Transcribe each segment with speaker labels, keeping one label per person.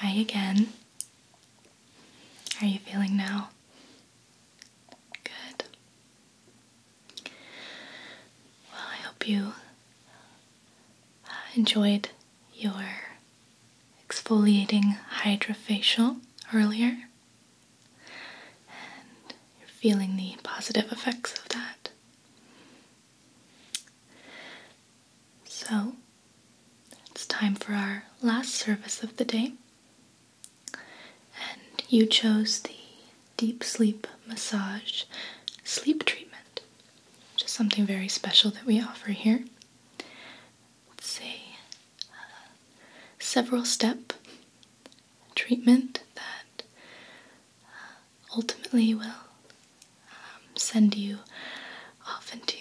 Speaker 1: Hi again. How are you feeling now? Good. Well, I hope you enjoyed your exfoliating hydrofacial earlier and you're feeling the positive effects of that. So it's time for our last service of the day. And you chose the deep sleep massage sleep treatment, which is something very special that we offer here let's see, several step treatment that uh, ultimately will um, send you off into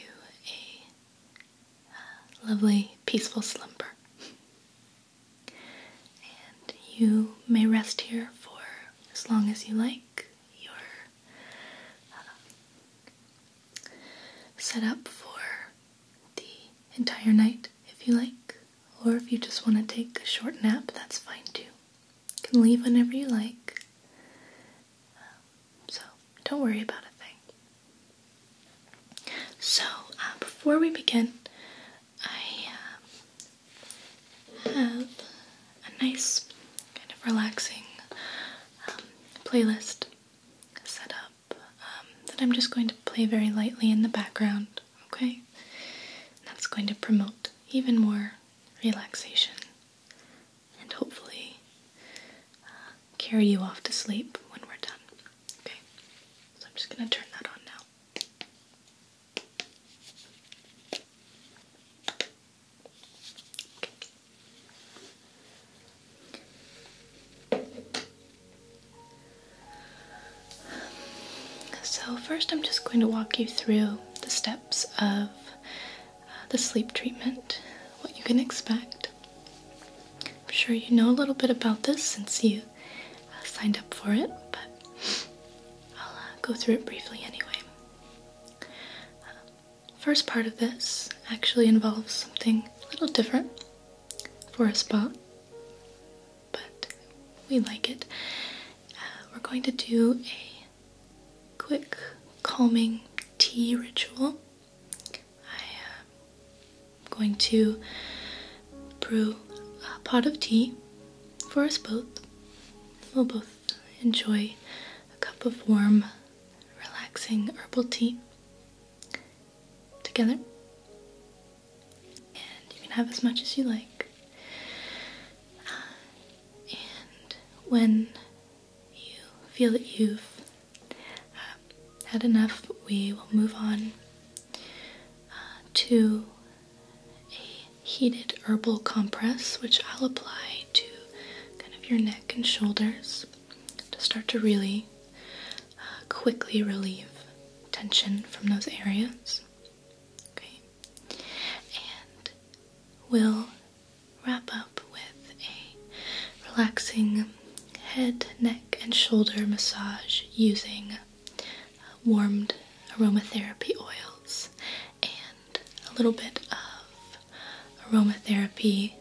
Speaker 1: a uh, lovely, peaceful slumber. And you may rest here for as long as you like you um, set up for the entire night if you like, or if you just want to take a short nap, that's fine too. You can leave whenever you like, um, so don't worry about a thing. So, uh, before we begin, I um, have a nice kind of relaxing um, playlist set up um, that I'm just going to play very lightly in the background, okay? that's going to promote even more relaxation and hopefully uh, carry you off to sleep when we're done, okay? So I'm just going to turn that on now. So, first, I'm just going to walk you through the steps of the sleep treatment, what you can expect. I'm sure you know a little bit about this since you uh, signed up for it, but I'll uh, go through it briefly anyway. First part of this actually involves something a little different for us both, but we like it. Uh, we're going to do a quick calming tea ritual. I am um, going to brew a pot of tea for us both. We'll both enjoy a cup of warm relaxing herbal tea together. And you can have as much as you like. and when you feel that you've uh, had enough, we will move on uh, to a heated herbal compress, which I'll apply to kind of your neck and shoulders to start to really uh, quickly relieve tension from those areas. Okay, and we'll wrap up with a relaxing head, neck, and shoulder massage using warmed aromatherapy oils a little bit of aromatherapy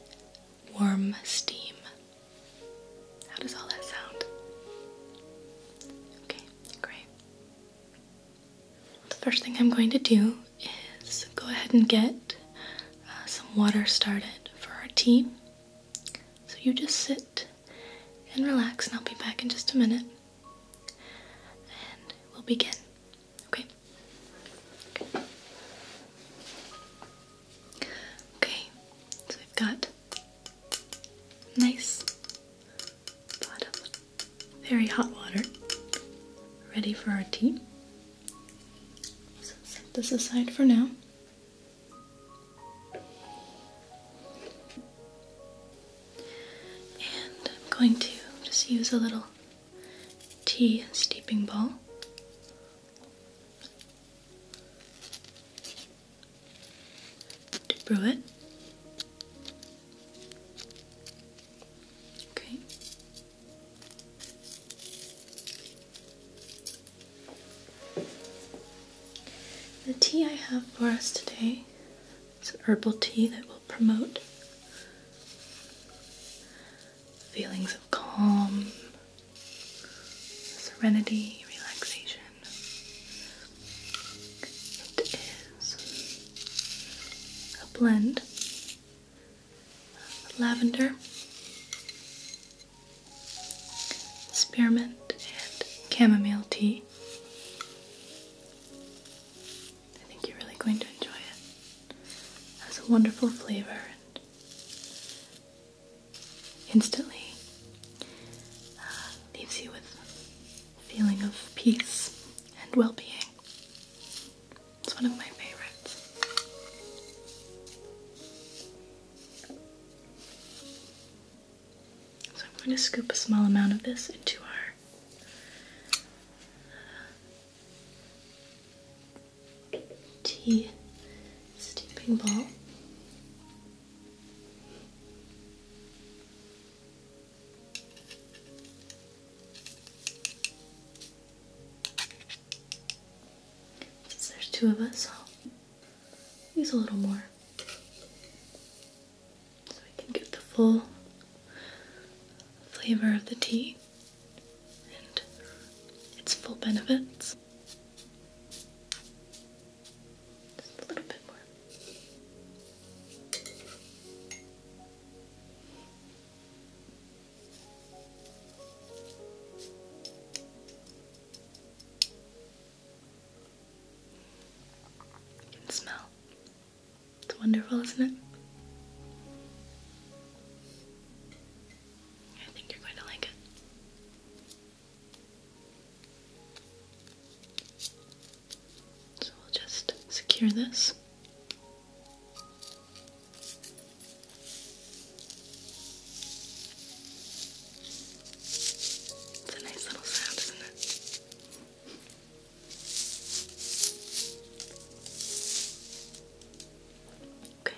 Speaker 1: warm steam. How does all that sound? Okay, great. The first thing I'm going to do is go ahead and get uh, some water started for our tea. So you just sit and relax, and I'll be back in just a minute. And we'll begin. Okay. Okay. So we've got nice very hot water, ready for our tea. So set this aside for now. And I'm going to just use a little tea steeping bowl. brew it. Okay. The tea I have for us today is an herbal tea that will promote feelings of calm, serenity, relaxation. It is a blend of lavender, spearmint, and chamomile tea. I think you're really going to enjoy it. It has a wonderful flavor and instantly uh, leaves you with a feeling of peace and well-being. It's one of my favorites. So I'm going to scoop a small amount of this into our uh, tea steeping bowl. Since there's two of us, use a little more so we can get the full flavor of the tea and its full benefits. Just a little bit more. smell it's wonderful, isn't it? I think you're going to like it. So we'll just secure this. It's a nice little sound, isn't it? Okay.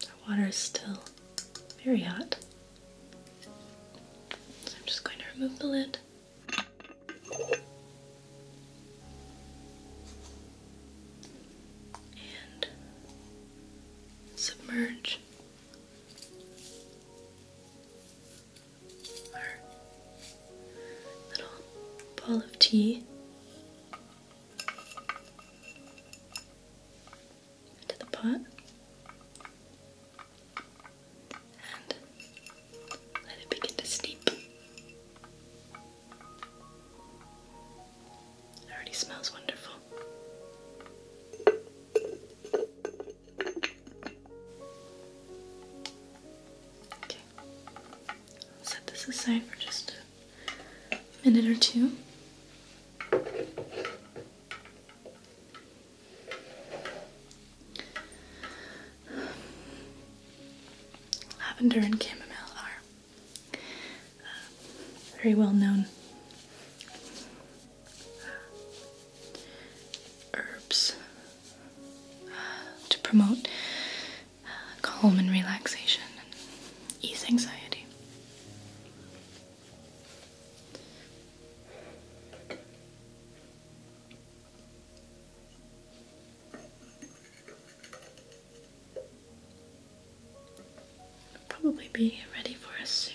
Speaker 1: The water is still very hot. So I'm just going to remove the lid. And submerge our little ball of tea into the pot and let it begin to steep. It already smells wonderful. Okay, set this aside for just a minute or two. Lavender and chamomile are very well known herbs to promote calm and relaxation and ease anxiety probably be ready for us soon.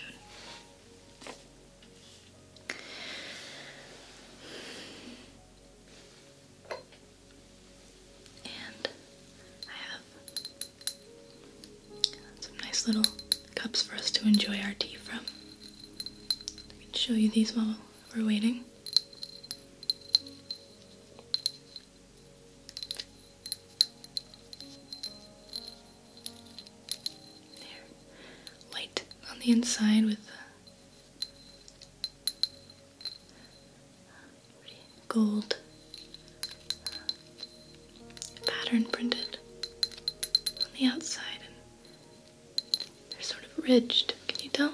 Speaker 1: And I have some nice little cups for us to enjoy our tea from. I can show you these while we're waiting. There. on the inside with gold pattern printed on the outside and they're sort of ridged. Can you tell?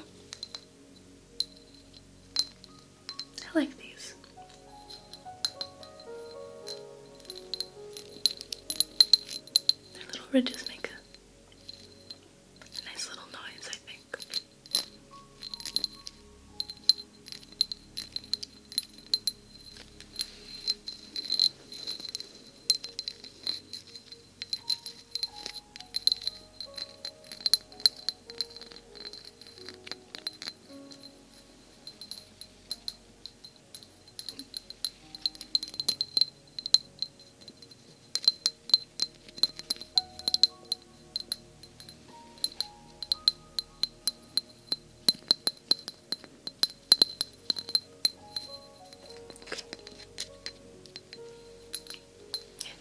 Speaker 1: I like these. Their little ridges make a nice little noise, I think. I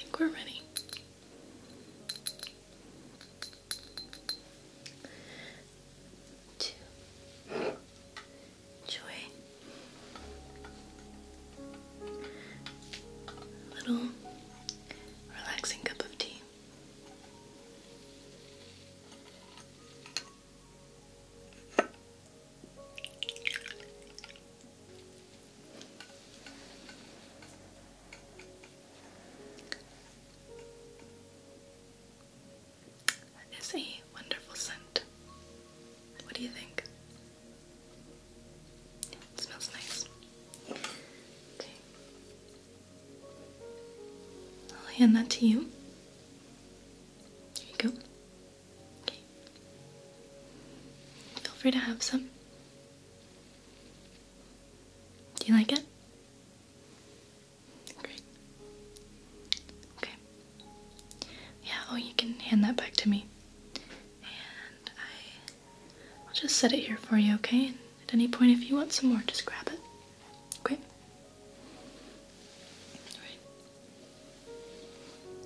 Speaker 1: think we're ready to enjoy little relaxing cup of tea. That is a wonderful scent. What do you think? It smells nice. Okay. I'll hand that to you. There you go. Okay. Feel free to have some. Do you like it? Great. Okay. Yeah, oh, you can hand that back to me. And I, I'll just set it here for you, okay? at any point, if you want some more, just grab it. Okay? Alright.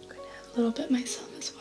Speaker 1: I'm going to have a little bit myself as well.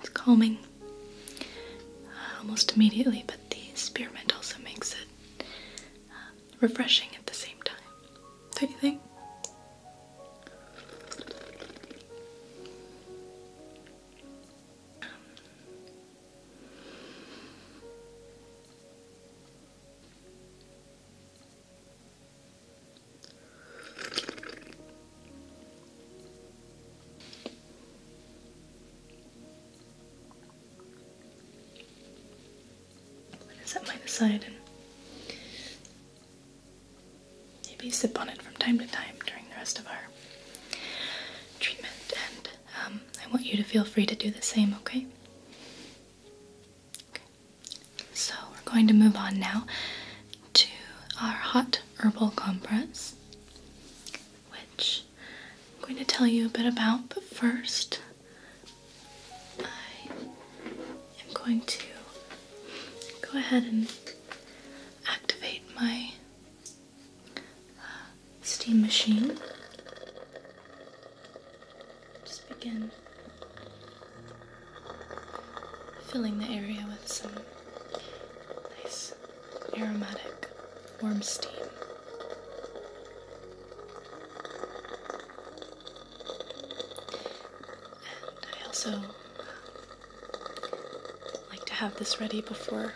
Speaker 1: It's calming uh, almost immediately, but the spearmint also makes it uh, refreshing at the same time. Don't you think? set mine aside and maybe sip on it from time to time during the rest of our treatment. And um, I want you to feel free to do the same, Okay. So we're going to move on now to our hot herbal compress, which I'm going to tell you a bit about, but first I am going to go ahead and activate my uh, steam machine. Just begin filling the area with some Nice, aromatic, warm steam. And I also uh, like to have this ready before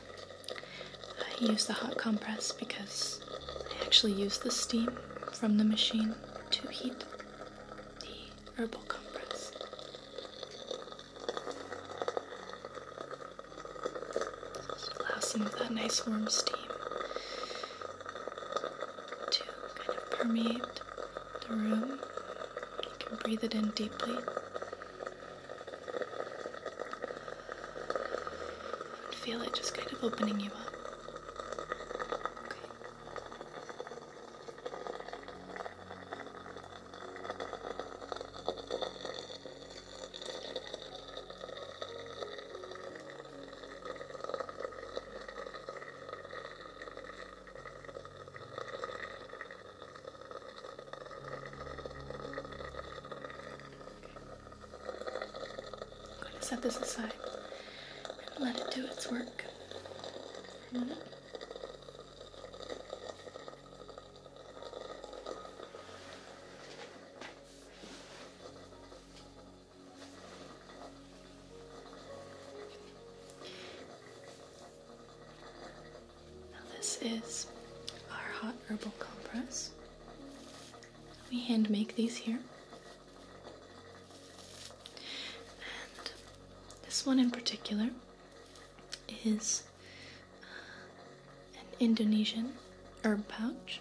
Speaker 1: I use the hot compress because I actually use the steam from the machine to heat the herbal compress. Allow some of that nice warm steam to kind of permeate the room. You can breathe it in deeply. And feel it just kind of opening you up. Okay. I'm going to set this aside and let it do its work. Mm -hmm this is our hot herbal compress. We hand make these here. And this one in particular is uh, an Indonesian herb pouch.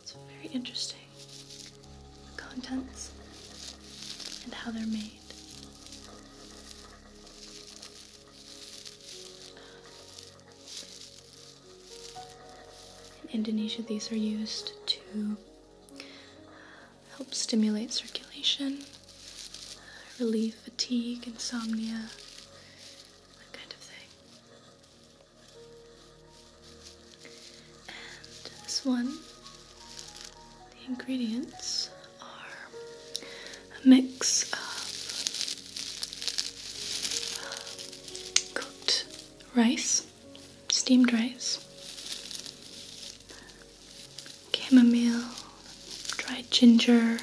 Speaker 1: it's very interesting. The contents and how they're made. In Indonesia, these are used to uh, help stimulate circulation, relieve fatigue, insomnia, that kind of thing. And this one, the ingredients are a mix of uh, cooked rice steamed rice, chamomile, dried ginger,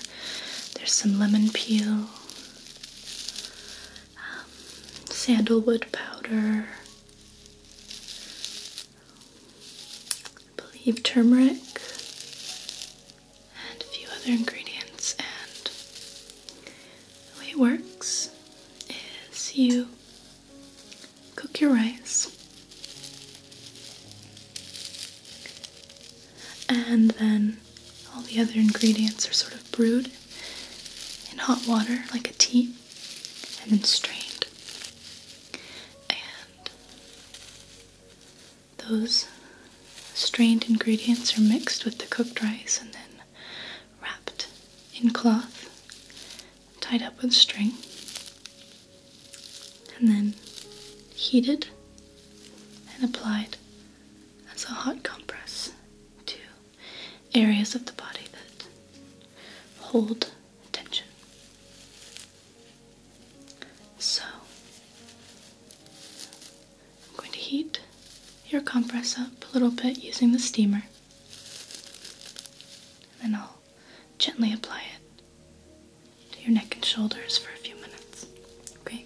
Speaker 1: there's some lemon peel, um, sandalwood powder, I believe turmeric, and a few other ingredients. And the way it works is you Cook your rice. And then all the other ingredients are sort of brewed in hot water like a tea and then strained. And those strained ingredients are mixed with the cooked rice and then wrapped in cloth tied up with string and then heated and applied as a hot compress to areas of the body that hold tension. So, I'm going to heat your compress up a little bit using the steamer. And then I'll gently apply it to your neck and shoulders for a few minutes. Okay?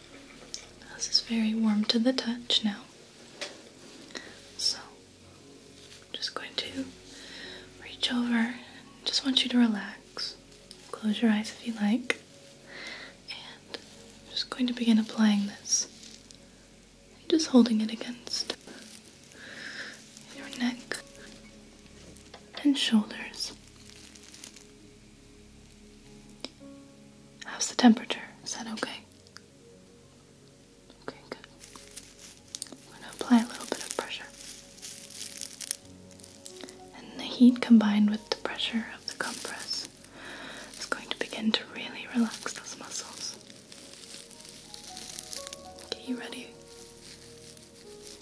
Speaker 1: This is very warm to the touch now. So, just going to reach over. Just want you to relax. Close your eyes if you like. And I'm just going to begin applying this. just holding it against your neck and shoulders. How's the temperature? Is that okay? Okay, good. I'm going to apply a little bit of pressure. And the heat combined with the pressure of the compress is going to begin to really relax those muscles. Get you ready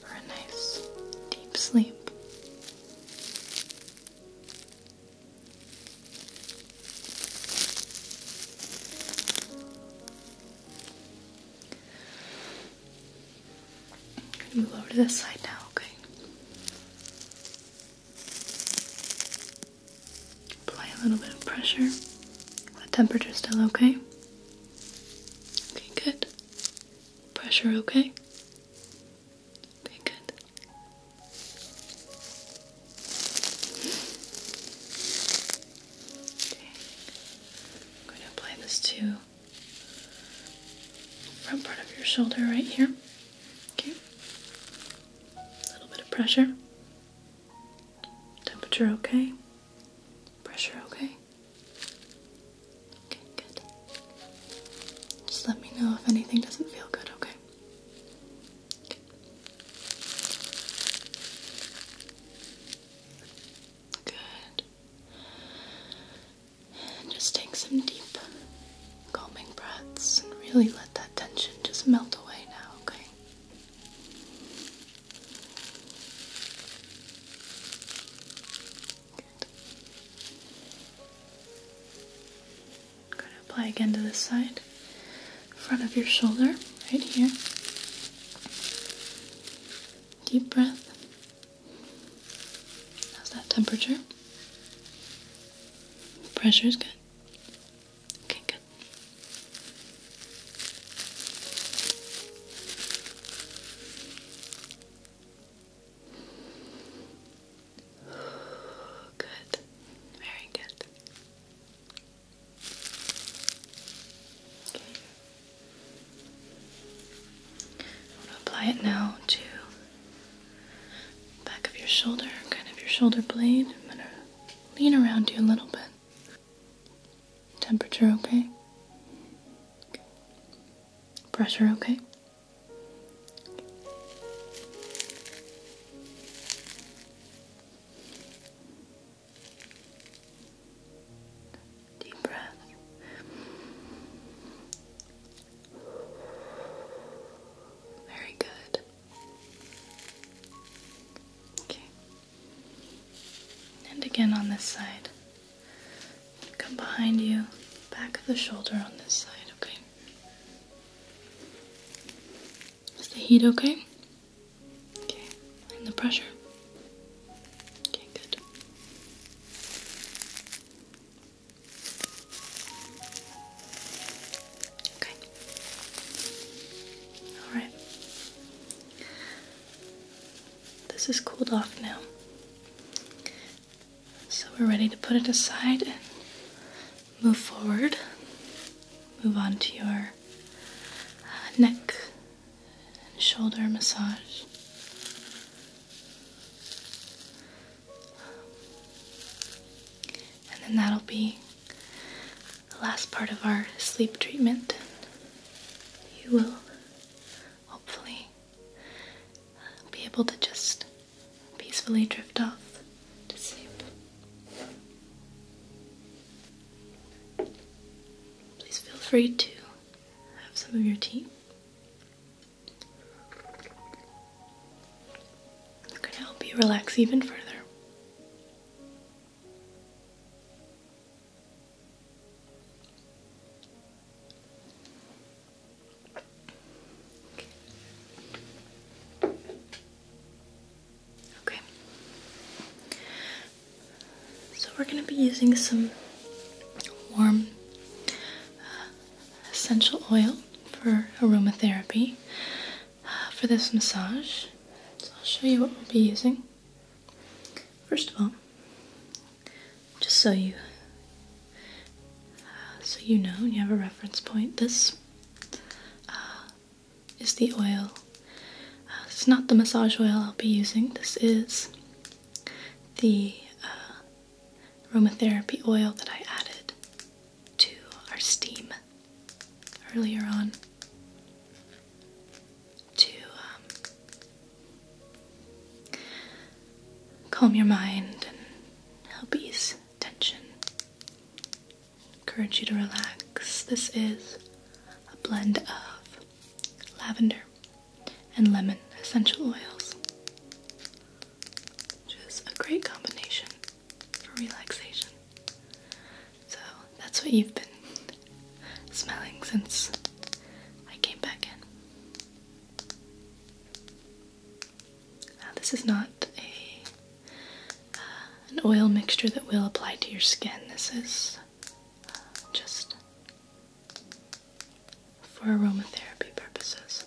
Speaker 1: for a nice deep sleep. You go to this side now, okay? Apply a little bit of pressure. The temperature's still okay? Okay, good. Pressure okay? Very good. I'm going to apply this to front part of your shoulder right here. Okay. A little bit of pressure. Temperature okay. Pressure okay. Okay, good. Just let me know if anything doesn't feel good, okay? Good. And just take some deep calming breaths and really let that tension just melt away now, okay? Good going to apply again to this side, front of your shoulder, right here. Deep breath. How's that temperature? Pressure is good. Okay, good. Good. Very good. Okay. I'm going to apply it now to the back of your shoulder, kind of your shoulder blade. I'm going to lean around you a little bit. Temperature okay? okay. Pressure okay? Deep breath. Very good. Okay. And again on this side. Come behind you, back of the shoulder on this side, okay? Is the heat okay? Okay. And the pressure? Okay, good. Okay. Alright. This is cooled off now. So we're ready to put it aside and move forward. Move on to your uh, neck and shoulder massage. And then that'll be the last part of our sleep treatment. You will hopefully be able to just peacefully drift off to sleep. Please feel free to have some of your tea. It's going to help you relax even further. Okay. So we're going to be using some warm uh, essential oil for aromatherapy uh, for this massage. So I'll show you what we'll be using. First of all, just so you uh, so you know you have a reference point. This uh, is the oil. Uh, it's not the massage oil I'll be using. This is the aromatherapy oil that I added to our steam earlier on to um, calm your mind help ease tension. Encourage you to relax. This is a blend of lavender and lemon essential oils, which is a great combination for relaxation. So that's what you've been smelling since I came back in. Uh, this is not a uh, an oil mixture that will apply to your skin. This is uh, just for aromatherapy purposes.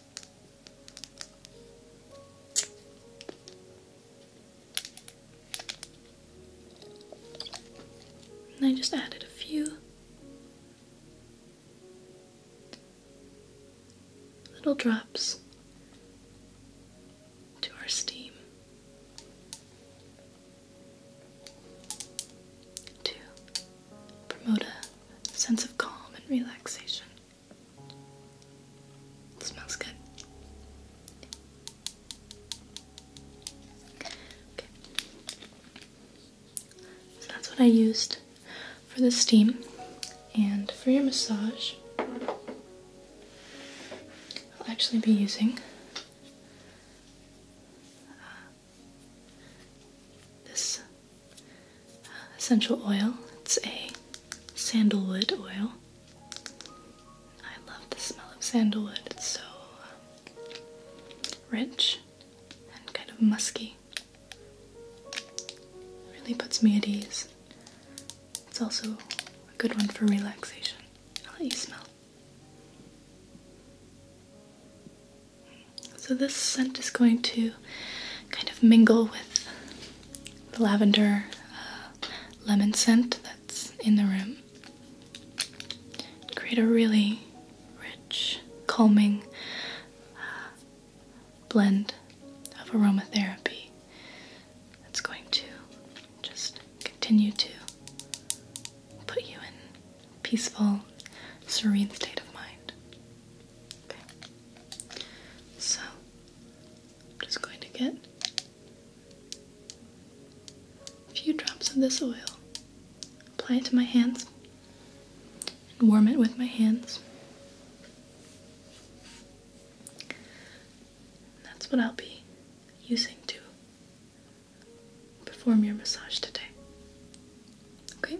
Speaker 1: And I just added a few little drops to our steam. To promote a sense of calm and relaxation. smells good. So that's what I used for the steam. And for your massage, I'll actually be using uh, this essential oil. It's a sandalwood oil. I love the smell of sandalwood. It's so um, rich and kind of musky really puts me at ease. It's also a good one for relaxation. I'll let you smell. So this scent is going to kind of mingle with the lavender uh, lemon scent that's in the room. Create a really rich, calming, uh, blend of aromatherapy that's going to just continue to put you in peaceful, serene state of mind. So, just going to get a few drops of this oil, apply it to my hands and warm it with my hands. that's what I'll be using to perform your massage today. Okay?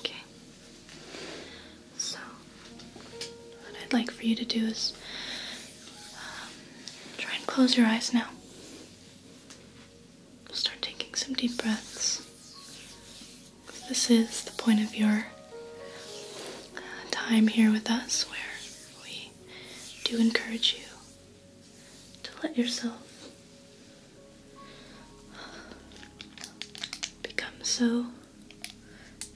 Speaker 1: Okay. So, what I'd like for you to do is um, try and close your eyes now. Start taking some deep breaths. This is the point of your uh, time here with us where we do encourage you to let yourself become so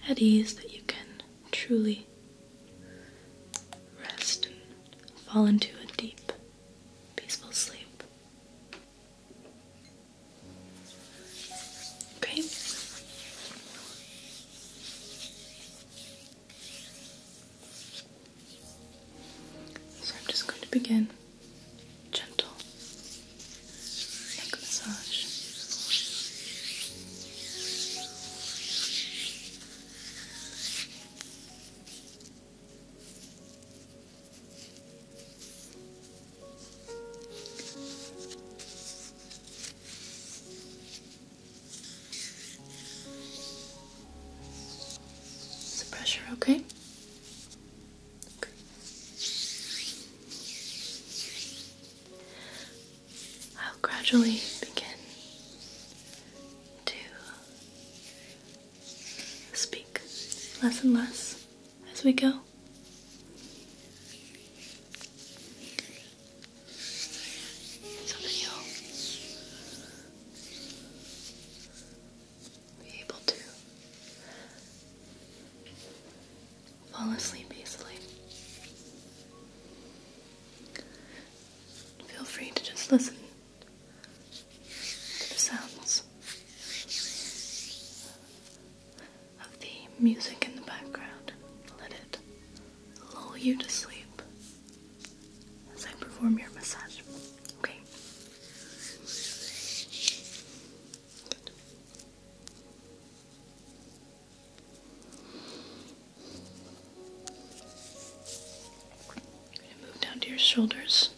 Speaker 1: at ease that you can truly rest and fall into a deep, peaceful sleep. Okay. So I'm just going to begin gentle neck massage. Is the pressure okay? Okay. I'll gradually begin to speak less and less as we go. Some of you'll be able to fall asleep easily. Feel free to just listen to the sounds of the music in the background. Let it lull you to sleep as I perform your massage. Okay. move down to your shoulders.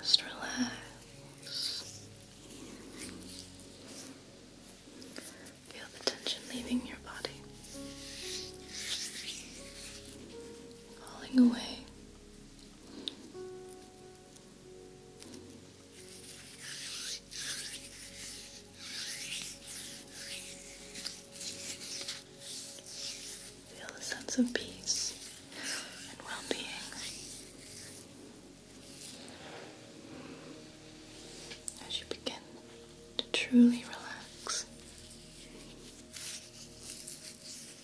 Speaker 1: Just relax. Feel the tension leaving your body, falling away Feel a sense of peace and well being. As you begin to truly relax,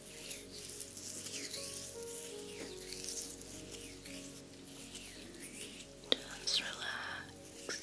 Speaker 1: Just relax. Just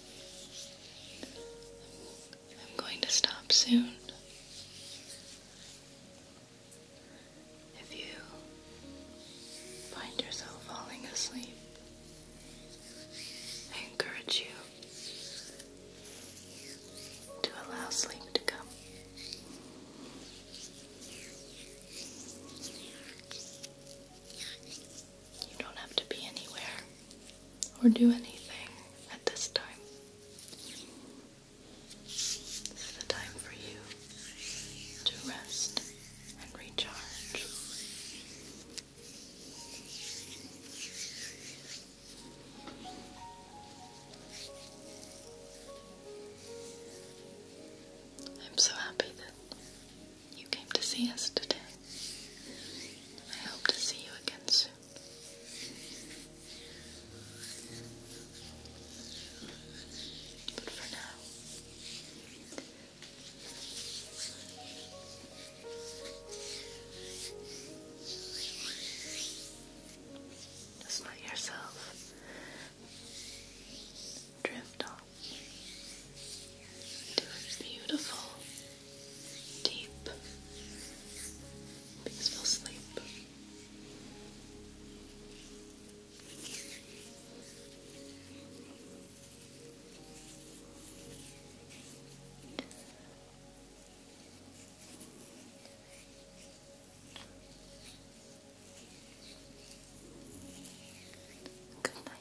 Speaker 1: I'm going to stop soon. If you find yourself falling asleep, I encourage you to allow sleep to come. You don't have to be anywhere or do anything at this time. This is the time for you to rest and recharge. I'm so happy that you came to see us today. I hope to see you again soon. But for now, just let yourself drift on into a beautiful, deep, peaceful sleep. Good night.